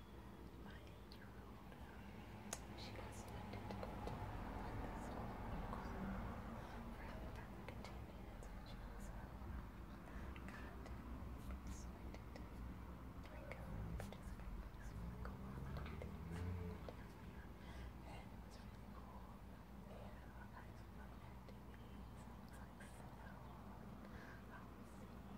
She has intended to go to London School of Cornwall for having done the continuance, and she also got selected to bring her own participant in this really cool holiday and it was really cool. They had all kinds of fun activities, things like snow, and um,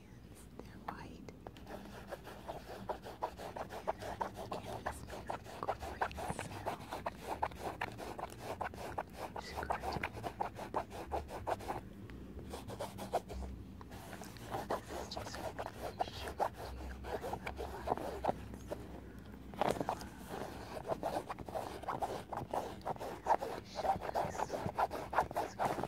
hands, they're white. And Candace makes a great sound. Scratching. This is just really short video.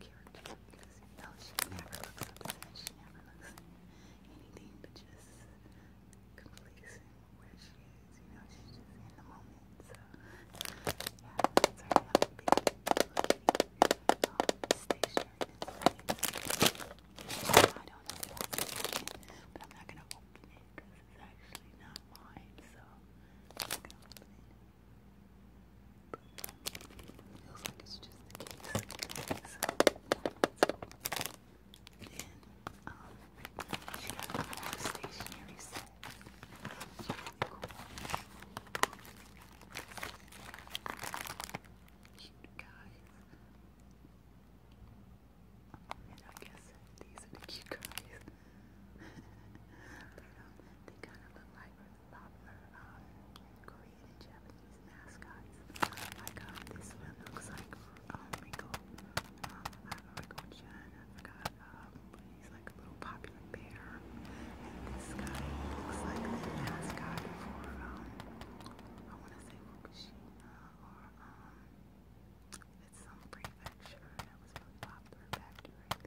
character because you know she never looks up to that. She never looks at anything but just complacent where she is. You know, she's just in the moment. So, yeah, that's her another big um, stationary display. I don't know if that's it, but I'm not going to open it because it's actually not mine. So, I'm not going to open it. Feels like it's just the case. um, she got a stationery set. It's really cool. Cute guys. I guess these are cute guys. they kind of look like popular um, Korean and Japanese mascots. Like um, this one looks like um, Rico, um, I forgot, um, he's like a little popular bear. And this guy looks like the mascot for, um, I want to say Fukushima or, um, it's some prefecture that was popular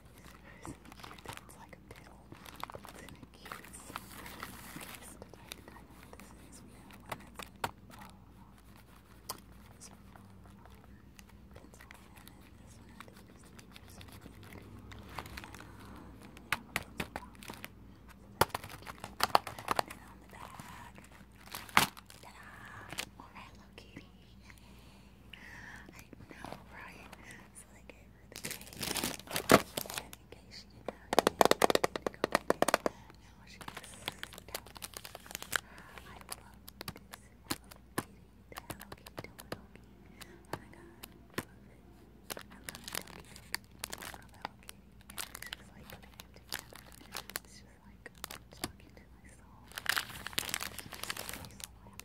sounds like a pill, but then it keeps I know what this is. We one that's uh, so, um, pencil, and then this one I think is the so uh, and then we have a pencil box. So that's cute. And on the back, ta-da! Alright, Hello Kitty. I know, right? So I gave her the cake. In case she didn't know you did go in there. Now she's down. I love this. I love Kitty. The Hello Kitty Doki. Oh my god. I love it. I love Doki I love Hello Kitty. And she's like putting it together. It's just like talking to my soul.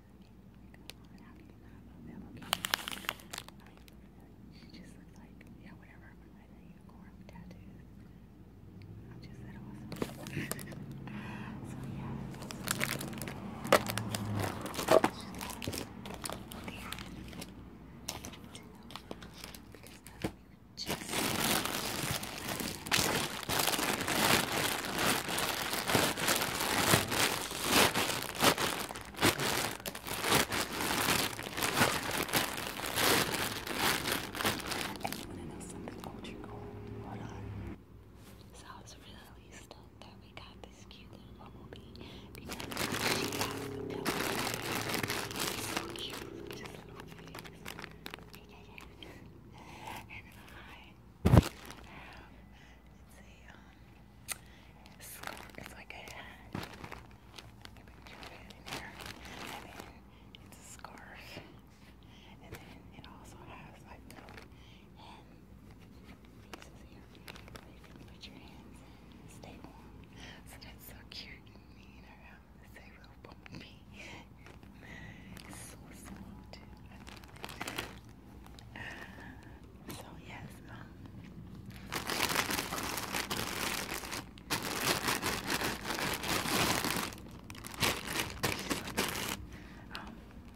on, how can you not love that location? I mean, look at that. She just looks like, yeah, whatever. I'm like a unicorn with tattoos. I'm just that awesome. so, yeah. Because just you want to know something ultra cool? Hold on. So I was really stoked that we got this cute little bumblebee because she has the pillow. It's so cute. Just little face. Yeah, yeah, yeah. And then I. Um, it's a um, scarf. It's like a hat. You picture it in here, and then it's a scarf, and then it also has like the hand pieces here you can put your hands stay warm. So that's so cute. me and her, it's a real bumpy. It's so soft. So yes, um, um,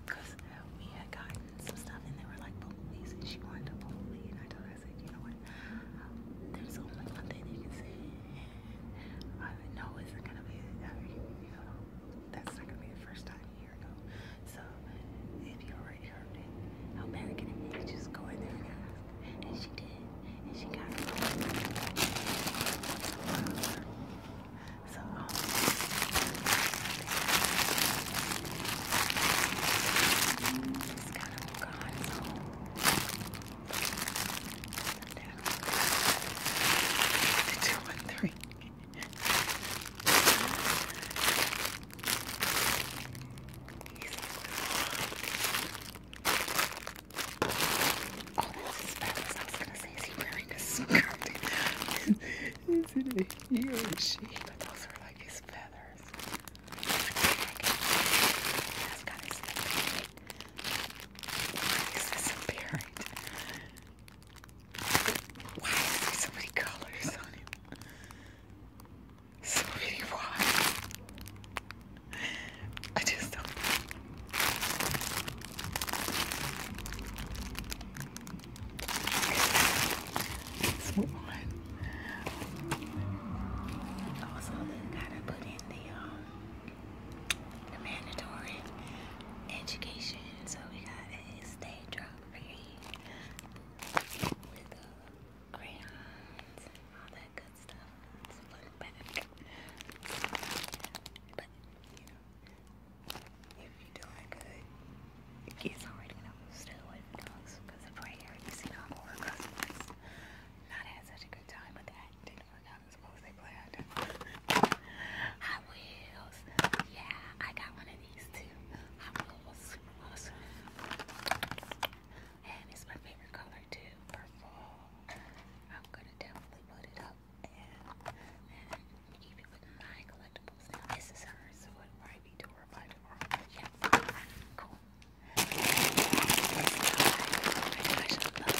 cause we had gotten some stuff and they were like police and she wanted to police and I told her I said, you know what, um, there's only one thing you can say. I know it's not gonna be, I mean, you know, that's not gonna be the first time you so if you already heard it, how bad can it be? Just go in there and she did. And she got it. So um, it's kind of God's own. Two and three. Oh, that's as bad as I was gonna say. Is he wearing a skirt? Is it a he or she? But those are like his feathers. That's kind of disappearing. Why is this appearing? Why is there so many colors on it? So many why? I just don't Let's move on. Also they gotta put in the um the mandatory education. So we got a state strawberry with uh, crayons all that good stuff. But, if you're doing good, kids already know. Stay because of prayer. You see, dog horror customers not had such a good time with that. They don't know how to they play good. Hot Yeah, I got one of these too. Hot Wheels, super awesome. And it's my favorite color too, purple. I'm gonna definitely put it up and, keep it with my collectibles. this is hers, so it'll be to her by tomorrow. Yeah, cool. Oh my gosh, I love this.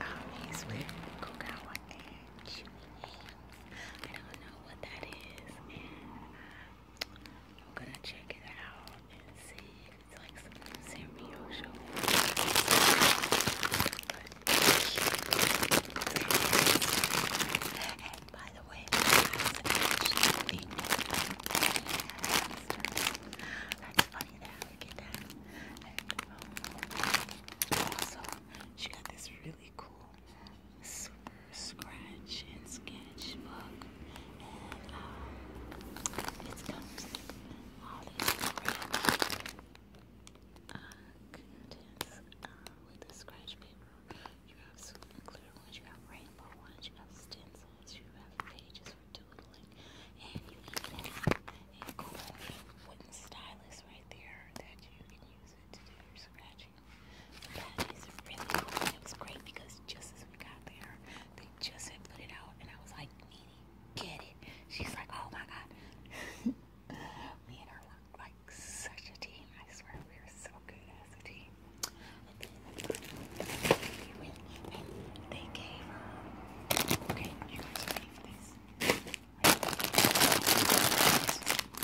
Always with Kokawa and Chewy I don't know what that is, and I'm gonna check it out and see if it's like some new cereal show. And by the way, that's funny get she got this really cool super scratch and sketch And um, it comes with all these great uh, contents uh, with the scratch paper. You have super clear ones, you have rainbow ones, you have stencils, you have pages doodling, and you can have a cool wooden stylus right there that you can use it to do your scratching. That is really cool. And it was great because just as we got there, they just had put it out, and I was like, Nene, get it. She's like, oh my god. Me and her look like such a team. I swear we were so good as a team. And then they gave her. Okay, you guys leave this.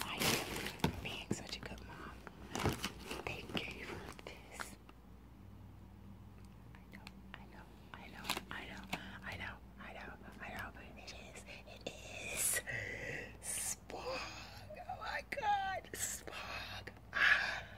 I am being such a good mom. They gave her this. I know, I know, I know, I know, I know, I know, I know. It is, it is Spog. Oh my god, Spog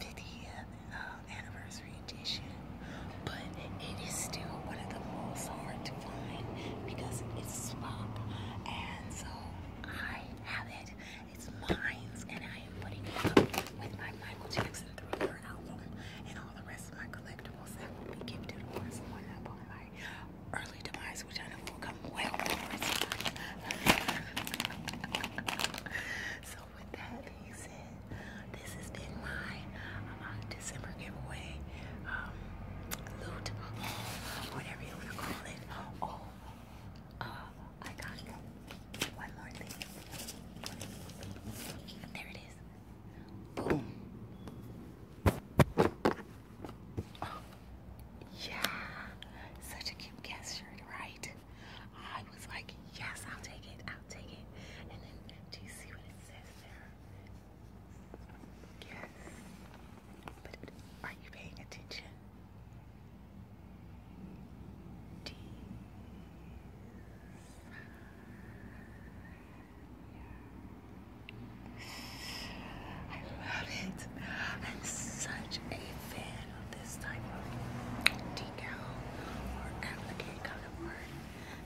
50th uh, um, anniversary edition, but it is still one of the most hard to find because it's swap, and so I have it. It's mine, and I am putting it with my Michael Jackson thriller album and all the rest of my collectibles that will be gifted or someone up on my early demise, which I know will come well before it's time. so with that being said, this has been my uh, December giveaway um, loot, whatever you want to call it. Oh, uh, I got one more There it is. Boom. Yeah, such a cute guest shirt, right? I was like, yes, I'll take it, I'll take it. And then, do you see what it says there? Yes. But are you paying attention? D. I love it. I'm such a fan can this type of decal or applique color work.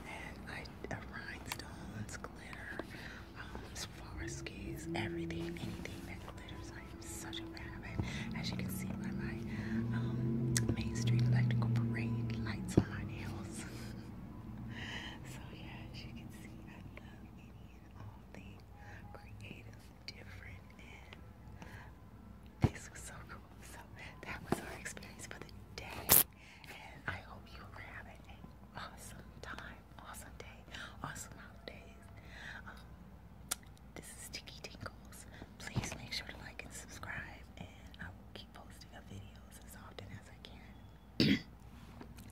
And I, uh, rhinestones, glitter, um, everything, anything that glitters. I am such a fan of it. As you can see by my um, Main Street Electrical Parade lights on my nails. so yeah, as you can see, I love any all things creative this was so cool. So that was our experience for the day. And I hope you were having an awesome time, awesome day, awesome holidays. Um, this is Sticky Tingles. Please make sure to like and subscribe and I will keep posting up videos as often as I can.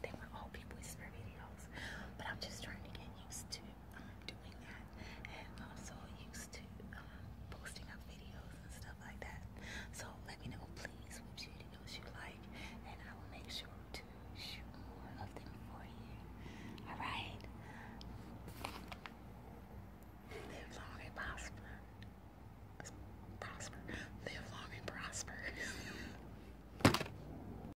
they were all people whisper videos, but I'm just trying to get used to um, doing that and also used to um, posting up videos and stuff like that. So let me know please what videos you like and I will make sure to shoot more of them for you. Alright? Live long and prosper. Prosper. Live long and prosper.